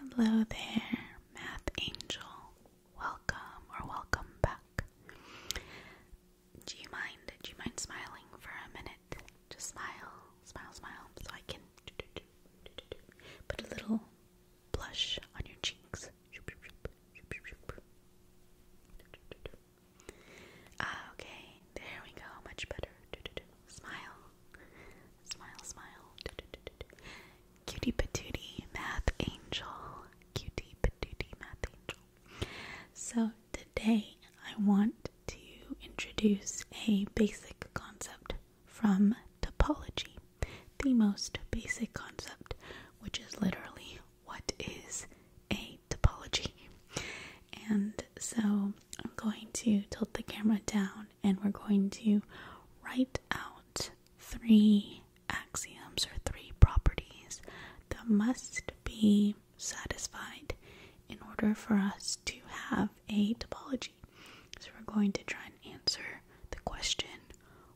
Hello there, Math Angel. Welcome or welcome back. Do you mind? Do you mind smiling for a minute? Just smile, smile, smile, so I can put a little blush on your cheeks. Ah, okay, there we go, much better. Smile. Smile, smile. Cutie patootie, math angel. Cutie patootie, math angel. So today I want to introduce a basic concept from topology. The most basic concept, which is literally what is a topology. And so I'm going to tilt the camera down and we're going to write out three axioms or three properties that must be satisfied in order for us to have a topology. So we're going to try and answer the question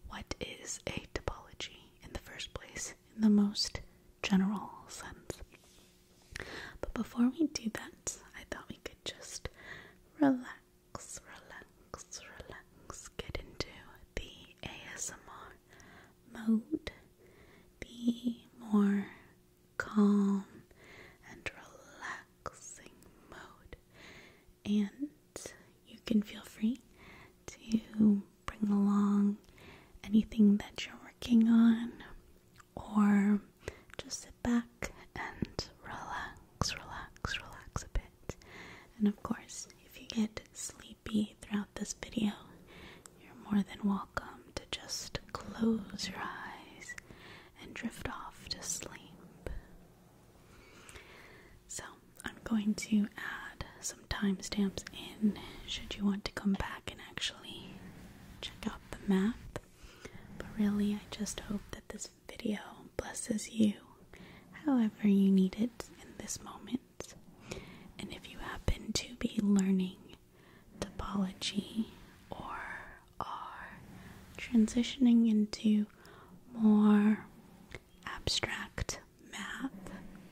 what is a topology in the first place, in the most general sense. But before we do that, I thought we could just relax, relax, relax, get into the ASMR mode, the more calm and relaxing mode, and you can feel free to bring along anything that you're working on or just sit back and relax, relax, relax a bit. And of course, if you get sleepy throughout this video, you're more than welcome to just close your eyes and drift off to sleep. So, I'm going to add some timestamps in should you want to come back and actually check out the map. But really, I just hope that this video blesses you however you need it in this moment. And if you happen to be learning topology or are transitioning into more abstract math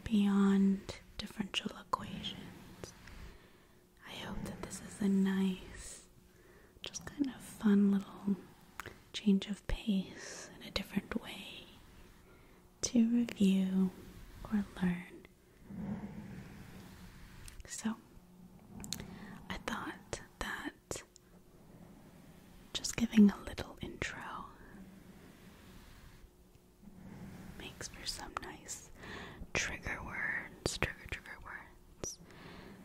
beyond differential equations, I hope that this is a nice, just kind of fun little change of pace in a different way to review or learn. So, I thought that just giving a little intro makes for some nice trigger words, trigger, trigger words.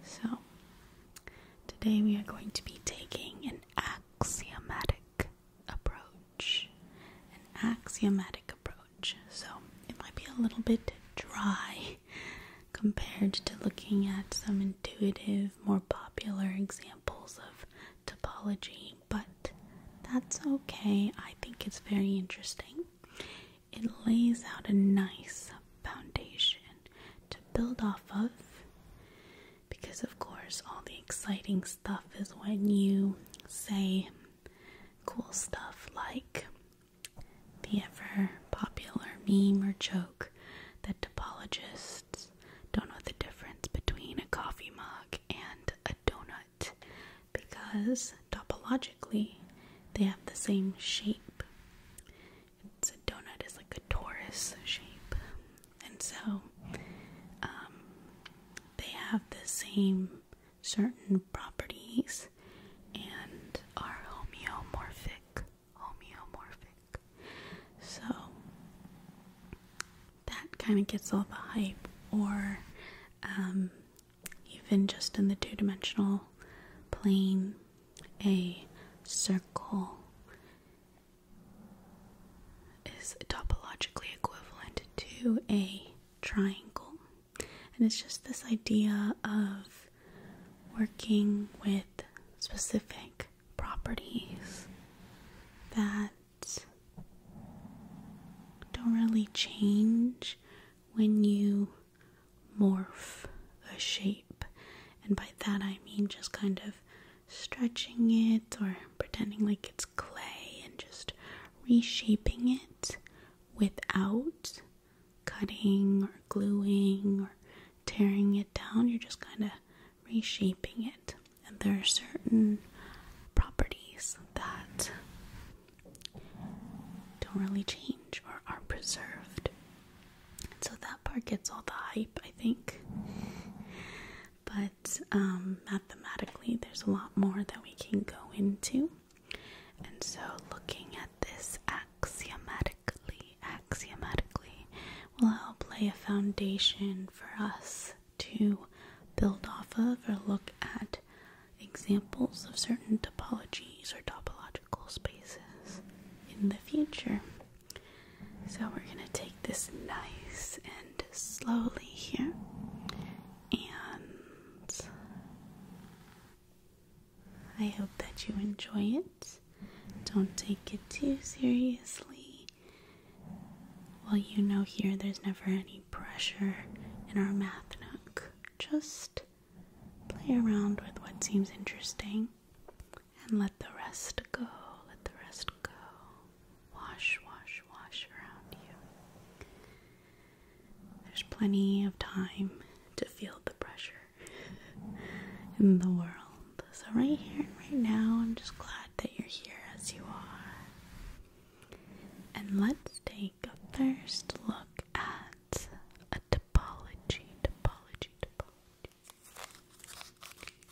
So, today we are going to be taking an axiomatic approach. An axiomatic approach. So, it might be a little bit dry compared to looking at some intuitive, more popular examples of topology, but that's okay. I think it's very interesting. It lays out a nice foundation to build off of because, of course, all the exciting stuff is when you say cool stuff like the ever popular meme or joke that topologists don't know the difference between a coffee mug and a donut because topologically they have the same shape. a donut is like a torus shape, and so um, they have the same certain properties and are homeomorphic. Homeomorphic. So that kind of gets all the hype, or um, even just in the two dimensional plane, a circle is topologically equivalent to a triangle. And it's just this idea of working with specific properties that don't really change when you morph a shape, and by that I mean just kind of stretching it or pretending like it's clay and just reshaping it without cutting or gluing or tearing it down, you're just kind of reshaping it. And there are certain properties that don't really change or are preserved. And so that part gets all the hype, I think. But um, mathematically, there's a lot more that we can go into. And so, looking at this axiomatically, axiomatically will help lay a foundation for us to build off of or look at examples of certain topologies or topological spaces in the future. So we're going to take this nice and slowly here and I hope that you enjoy it. Don't take it too seriously. Well, you know, here there's never any pressure in our math nook. Just play around with what seems interesting and let the rest go. Let the rest go. Wash, wash, wash around you. There's plenty of time to feel the pressure in the world. So, right here and right now, I'm just glad that you're here as you are. And let's take take a first look at a topology, topology, topology.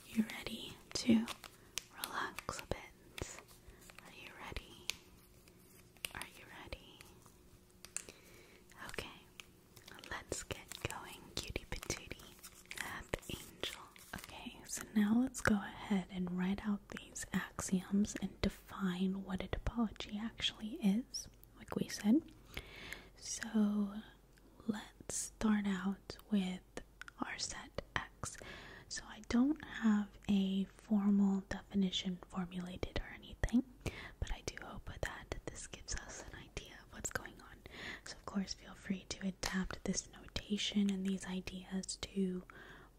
You ready to relax a bit? Are you ready? Are you ready? Okay, let's get going, cutie patootie, half angel. Okay, so now let's go ahead and write out these axioms and define what a topology actually is, like we said. So let's start out with our set X. So I don't have a formal definition formulated or anything, but I do hope that this gives us an idea of what's going on. So, of course, feel free to adapt this notation and these ideas to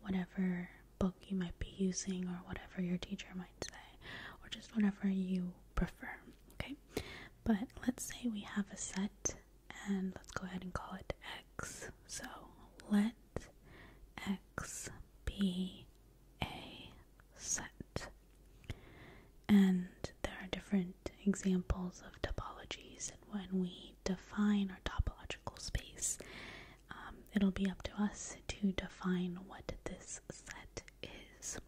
whatever book you might be using or whatever your teacher might say, or just whatever you prefer, okay? But let's say we have a set and let's go ahead and call it X. So let X be a set. And there are different examples of topologies when we define our topological space, um, it'll be up to us to define what this set is.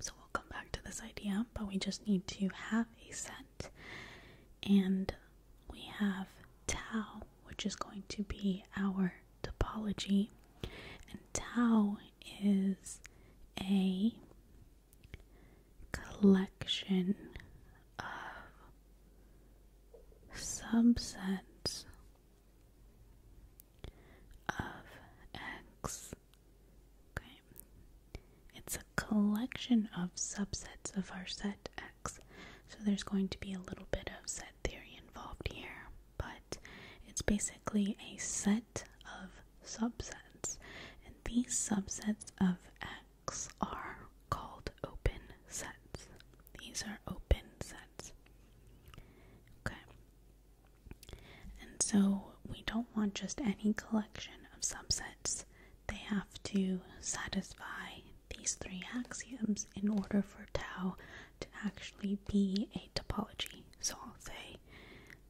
So we'll come back to this idea, but we just need to have a set. And we have tau, which is going to be our topology. And tau is a collection of subsets of X. Okay. It's a collection of subsets of our set X. So there's going to be a little bit of set theory involved here, but it's basically a set of subsets. And these subsets of X are called open sets. These are open sets. Okay. And so we don't want just any collection of subsets. They have to satisfy these three axioms in order for tau to actually be a topology. So I'll say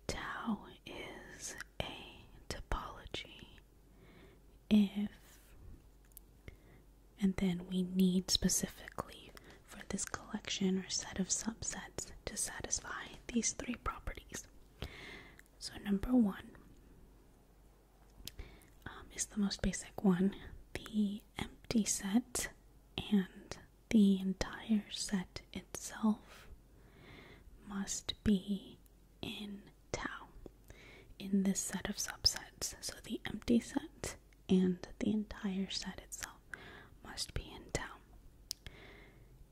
tau is a topology if and then we need specifically for this collection or set of subsets to satisfy these three properties. So, number one um, is the most basic one the empty set and the entire set itself must be in tau in this set of subsets. So the empty set and the entire set itself must be in tau.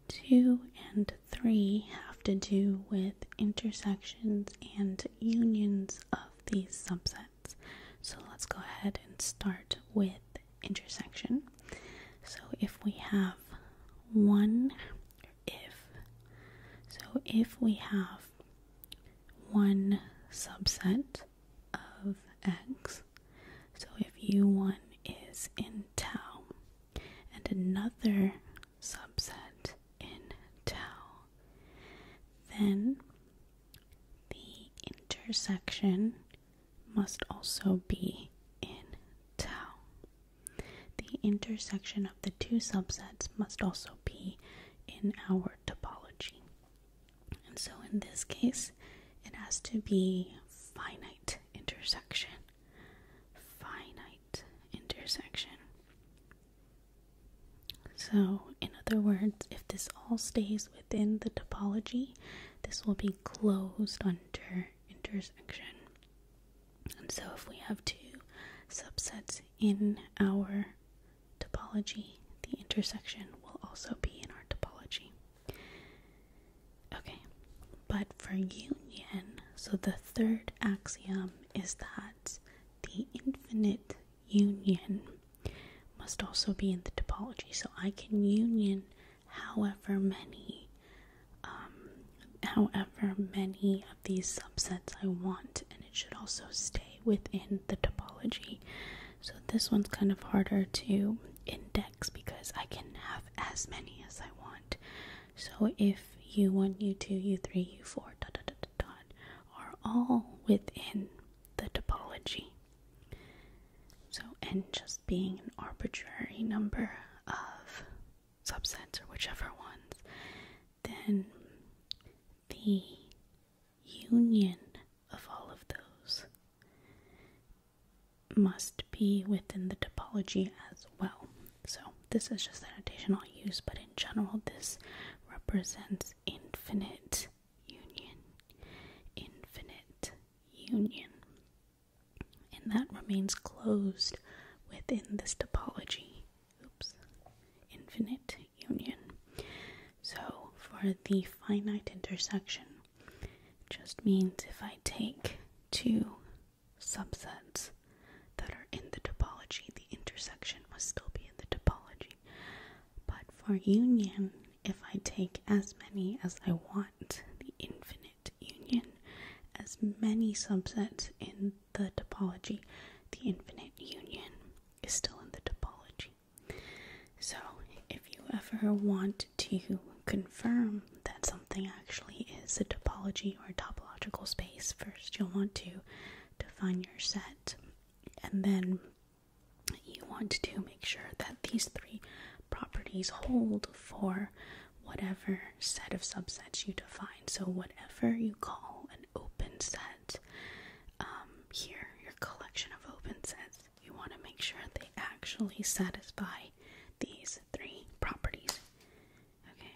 2 and 3 have to do with intersections and unions of these subsets. So let's go ahead and start with intersection. So if we have 1 if. So if we have one subset of x, so if u1 is in tau and another subset in tau, then the intersection must also be in tau. The intersection of the two subsets must also be in our topology. And so in this case, it has to be finite intersection. Finite intersection. So, in other words, if this all stays within the topology, this will be closed under intersection. And so if we have two subsets in our topology, the intersection will also be in our topology. Okay, but for union, so the third axiom is that the infinite union must also be in the topology. So I can union however many um, however many of these subsets I want, and it should also stay within the topology. So this one's kind of harder to index because I can have as many as I want. So if U1, U2, U3, U4, dot, dot, dot, are all within the topology. So n just being an arbitrary number of subsets or whichever ones, then the union of all of those must be within the topology as well. So this is just the notation use, but in general, this represents infinite union. Infinite union and that remains closed within this topology. Oops, infinite union. So for the finite intersection, just means if I take two subsets that are in the topology, the intersection must still be in the topology. But for union, if I take as many as I want, the infinite union as many subsets in the topology. The infinite union is still in the topology. So, if you ever want to confirm that something actually is a topology or a topological space, first you'll want to define your set, and then you want to make sure that these three properties hold for whatever set of subsets you define. So, whatever you call an open set, um, here, your collection of open sets, you want to make sure they actually satisfy these three properties. Okay,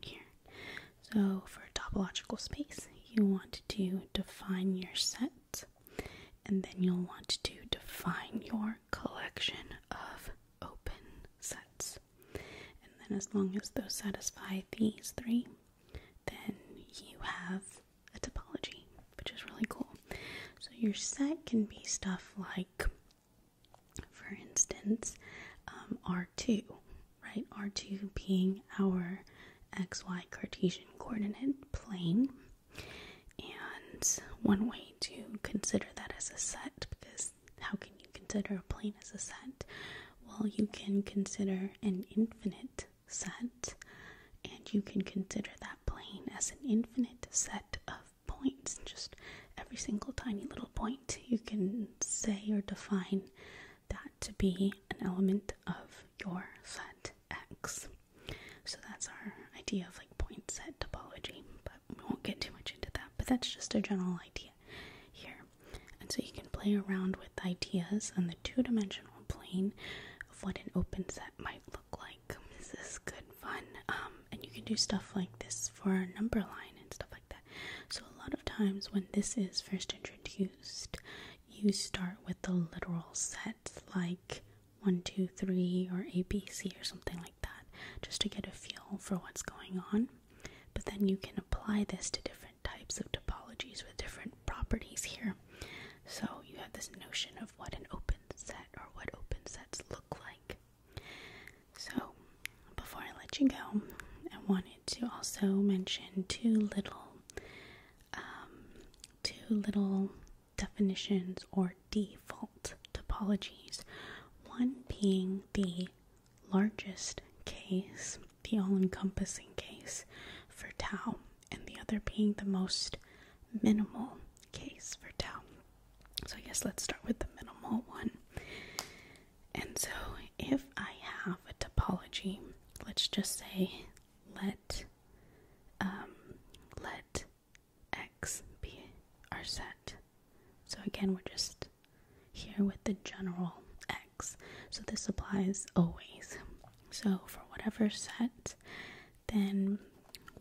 here. So, for topological space, you want to define your set, and then you'll want to define your collection of open sets. And then, as long as those satisfy these three, then you have a topology, which is really cool. So, your set can be stuff like, for instance, um, R2, right? R2 being our xy Cartesian coordinate plane. And one way to consider that as a set, because how can you consider a plane as a set? Well, you can consider an infinite set, and you can consider that plane as an infinite set of points. Just every single tiny little point you can say or define that to be an element of your set X. So that's our idea of like point set topology, but we won't get too much into that. But that's just a general idea here. And so you can play around with ideas on the two dimensional plane of what an open set might look like. This is good fun. Um, and you can do stuff like this for a number line and stuff like that. So a lot of times when this is first introduced, you start with the literal set that's like one, two, three, or ABC or something like that, just to get a feel for what's going on. But then you can apply this to different types of topologies with different properties here. So you have this notion of what an open set or what open sets look like. So before I let you go, I wanted to also mention two little um, two little definitions or default topologies, one being the largest case, the all encompassing case for tau, and the other being the most minimal case for tau. So, I guess let's start with the minimal one. And so, if I have a topology, let's just say let um, let x, b are set. So again, we're just here with the general x. So this applies always. So for whatever set, then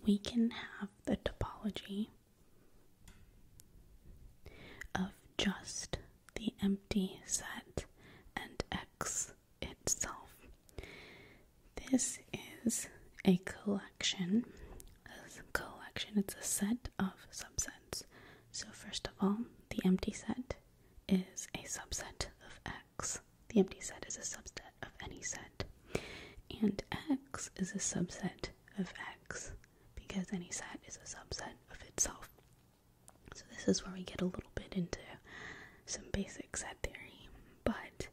we can have the topology of just the empty set and x itself. This is a collection. A collection, it's a set of subsets. So, first of all, the empty set is a subset of X. The empty set is a subset of any set. And X is a subset of X because any set is a subset of itself. So, this is where we get a little bit into some basic set theory. But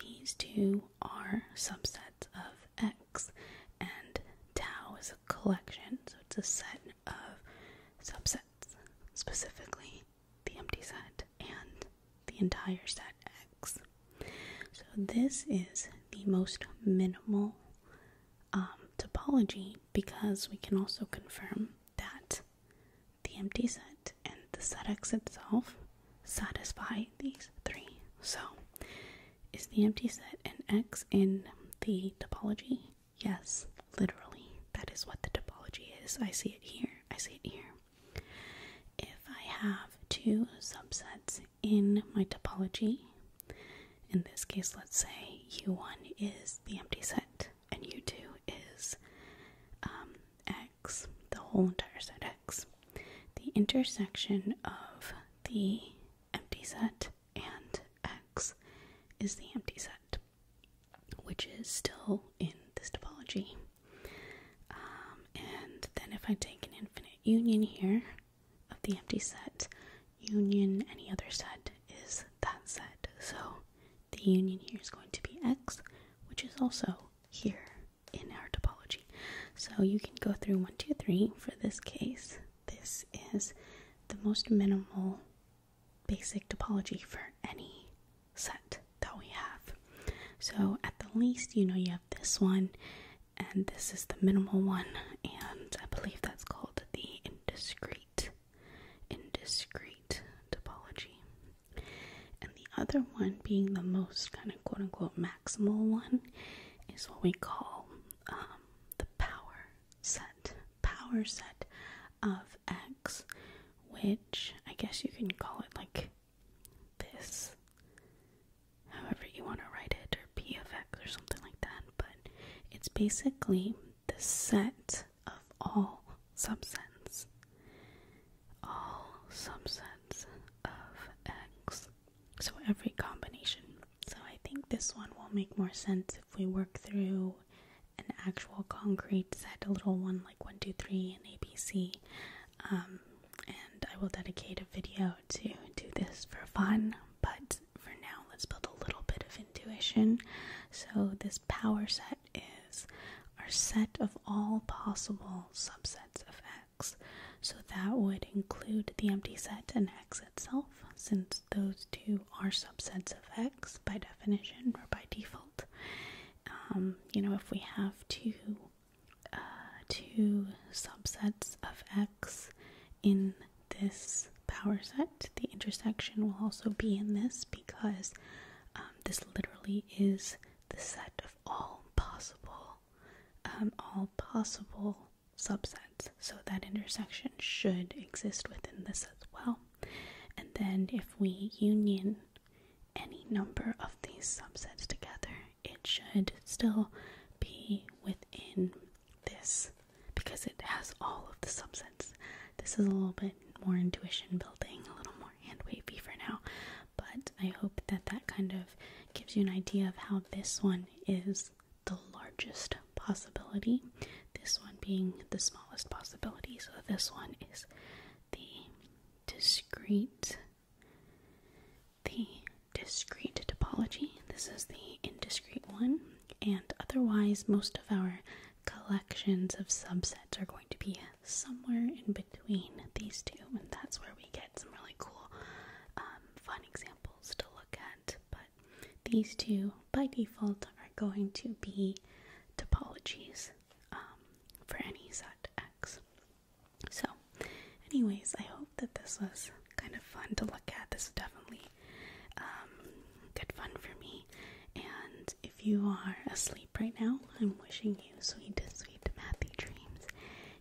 these two are subsets of X, and tau is a collection, so it's a set of subsets, specifically the empty set and the entire set X. So, this is the most minimal um, topology because we can also confirm that the empty set and the set X itself satisfy these three. So, is the empty set an X in the topology? Yes, literally. That is what the topology is. I see it here. I see it here. If I have two subsets in my topology, in this case, let's say U1 is the empty set and U2 is um, x, the whole entire set x, the intersection of the empty set and x is the empty set, which is still in this topology. Um, and then if I take an infinite union here of the empty set, union any other set is that set. So the union here is going to be x, which is also here in our topology. So you can go through one, two, three. For this case, this is the most minimal basic topology for any set that we have. So at the least, you know, you have this one, and this is the minimal one, and I believe that's called the indiscrete discrete, topology. And the other one, being the most kind of quote unquote maximal one, is what we call um, the power set. Power set of X, which I guess you can call it like this, however you want to write it, or P of X or something like that. But it's basically the set of all subsets. All subsets of x. So every combination. So I think this one will make more sense if we work through an actual concrete set, a little one like one, two, three, 2, and ABC. Um, and I will dedicate a video to do this for fun, but for now, let's build a little bit of intuition. So, this power set is our set of all possible subsets of x. So that would include the empty set and x itself, since those two are subsets of x by definition or by default. Um, you know, if we have two uh, two subsets of x in this power set. The intersection will also be in this because um, this literally is the set of all possible, um, all possible subsets. So that intersection should exist within this as well. And then if we union any number of these subsets together, it should still be within this because it has all of the subsets. This is a little bit more intuition building, a little more hand wavy for now, but I hope that that kind of gives you an idea of how this one is the largest possibility, this one being the smallest possibility. So this one is the discrete, the discrete topology. This is the indiscrete one and otherwise, most of our collections of subsets are going to be somewhere in between these two, and that's where we get some really cool, um, fun examples to look at. But these two, by default, are going to be topologies um, for any set X. So, anyways, I hope that this was kind of fun to look at. This definitely um, good fun for me. And if you are asleep right now, I'm wishing you sweet, sweet, mathy dreams.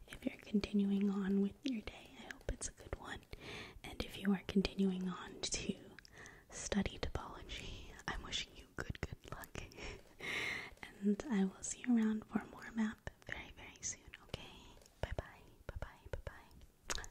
If you're continuing on with your day, I hope it's a good one. And if you are continuing on to study topology, I'm wishing you good, good luck. and I will see you around for more math very, very soon, okay? Bye bye, bye bye, bye bye.